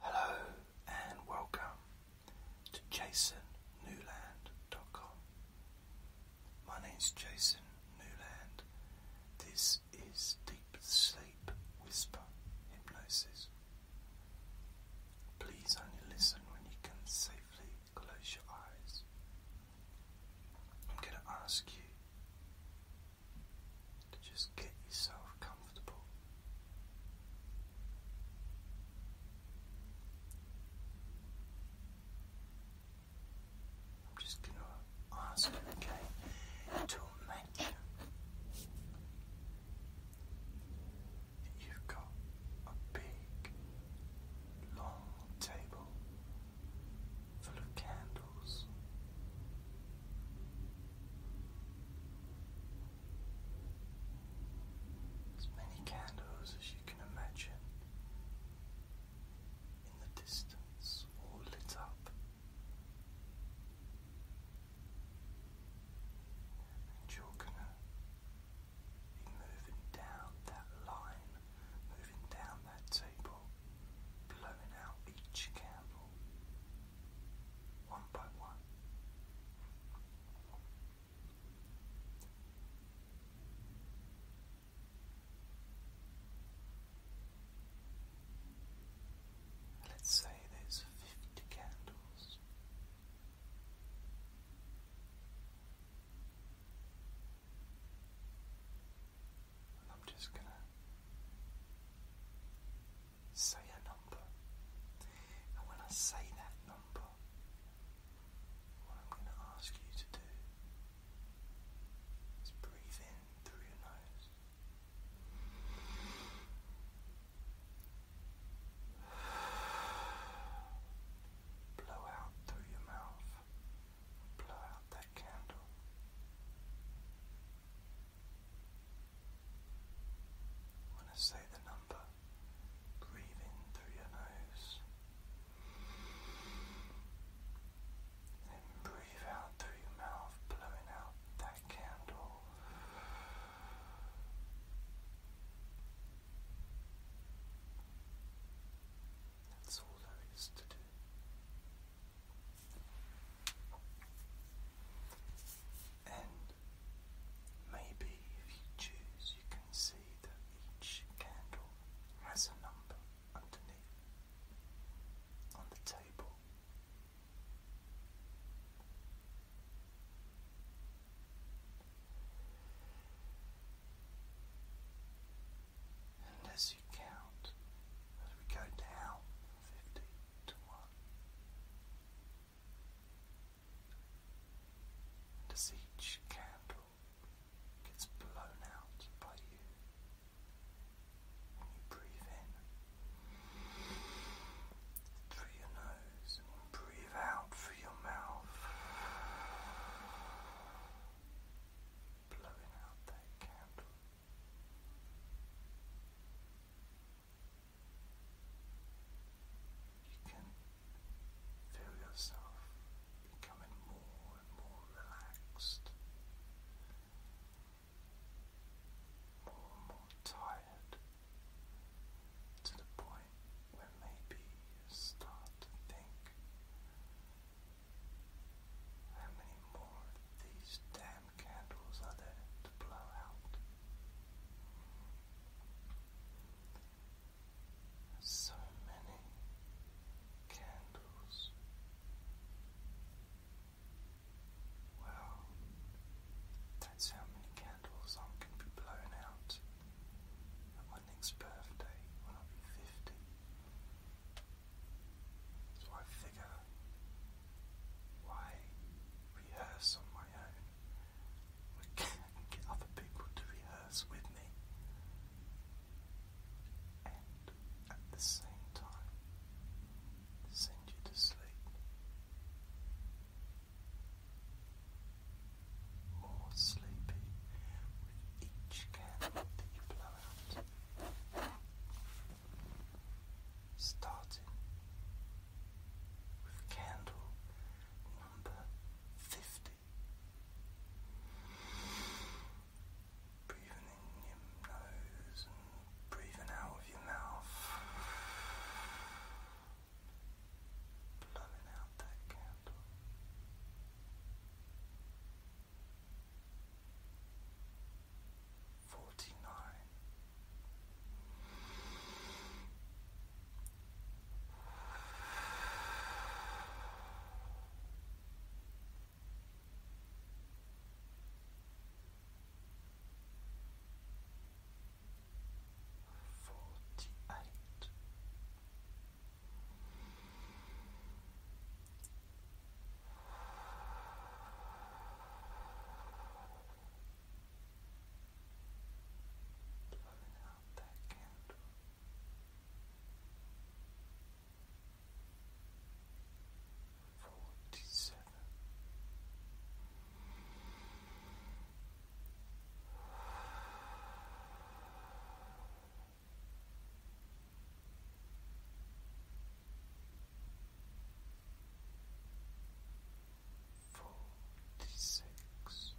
Hello and welcome to jasonnewland.com. My name's Jason Newland. This is Deep Sleep Whisper Hypnosis. Please only listen when you can safely close your eyes. I'm going to ask you to just get yourself comfortable. I'm just going to ask you again to imagine that you've got a big, long table full of candles as many candles as you can imagine in the distance, all lit up. And you're gonna be moving down that line, moving down that table, blowing out each candle one by one. Let's say there's fifty candles. I'm just going to say a number. And when I say that number, what I'm going to ask you to do is breathe in through your nose. Blow out through your mouth. Blow out that candle. I When to say the number, breathe in through your nose and breathe out through your mouth, blowing out that candle. That's all there is to do. And Maybe if you choose, you can see that each candle has a number underneath on the table. And as you count, as we go down 50 to 1, and as each candle gets blown out by you, when you breathe in through your nose and breathe out through your mouth, blowing out that candle you can feel yourself becoming more and more relaxed, more and more tired, to the point where maybe you start to think. How many more of these damn and candles are there to blow out. So many candles. Well, that's how many candles I'm going to be blown out my next birthday when i be 50. So I figure why rehearse on my own we and get other people to rehearse with me. And at the same time, send you to sleep. More sleepy with each candle that you blow out starting with candle number 50. Breathing in your nose and breathing out of your mouth. Blowing out that candle. Forty nine. Forty-eight blowing out that candle. Forty forty six.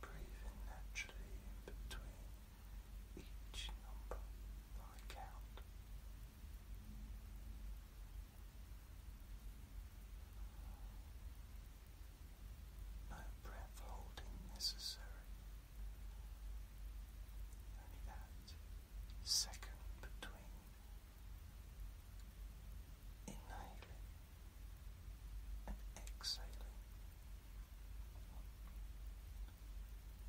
Breathing naturally between each number that I count. No breath holding necessary. Only that second between inhaling and exhaling.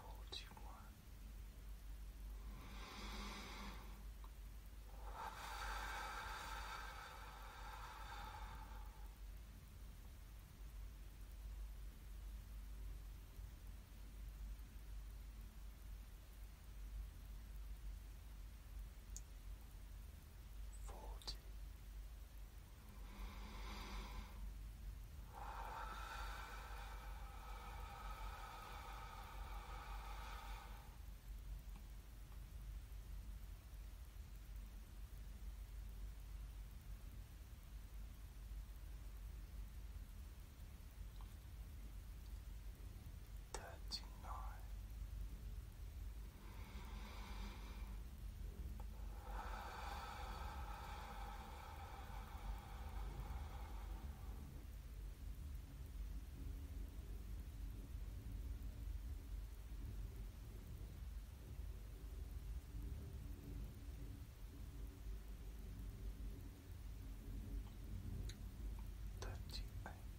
Forty one forty thirty nine. Thirty eight.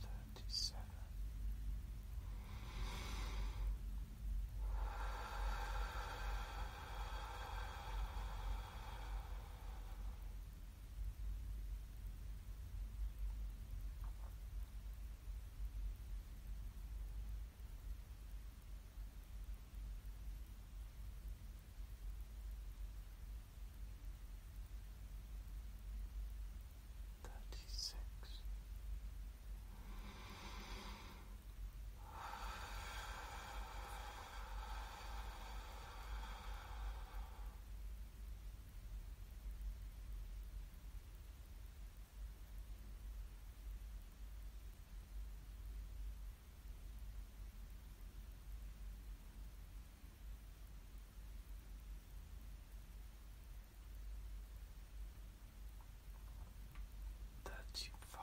thirty-seven. 36 37 Thirty five.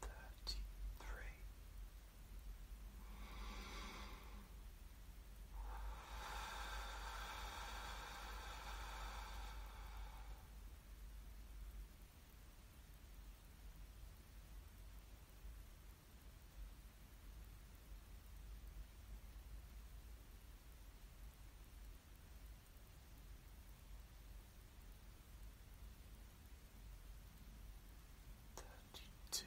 thirty three. Thirty Thirty-two.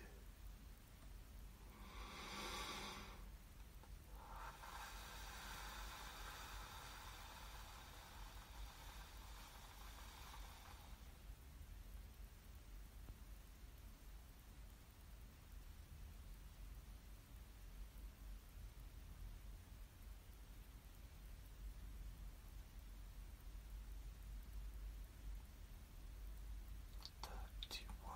Thirty one.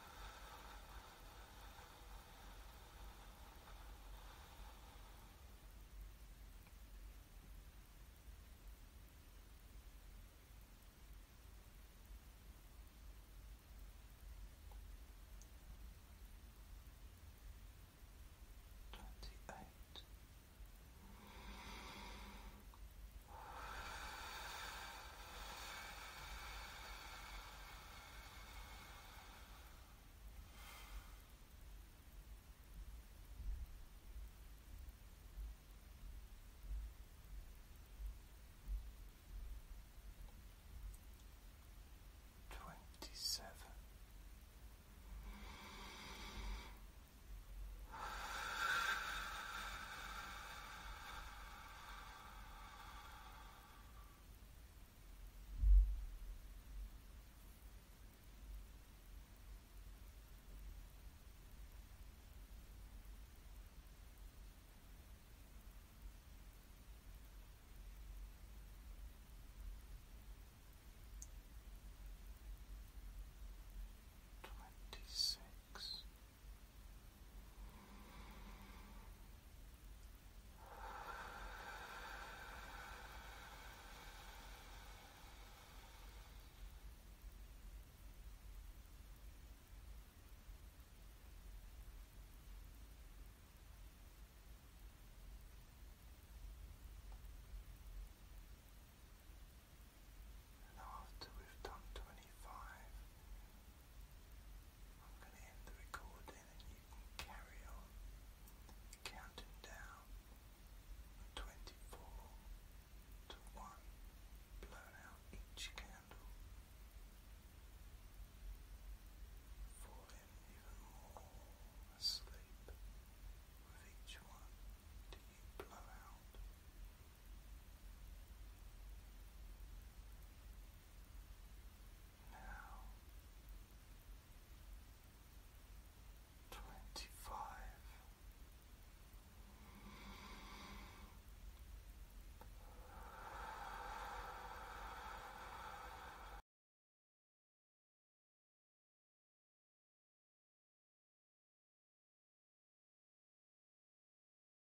Twenty eight. Twenty-seven. Twenty six. And after we've done twenty five, I'm going to end the recording and you can carry on counting down 24 to 1, blown out each candle, falling even more asleep with each one till you blow out now twenty five.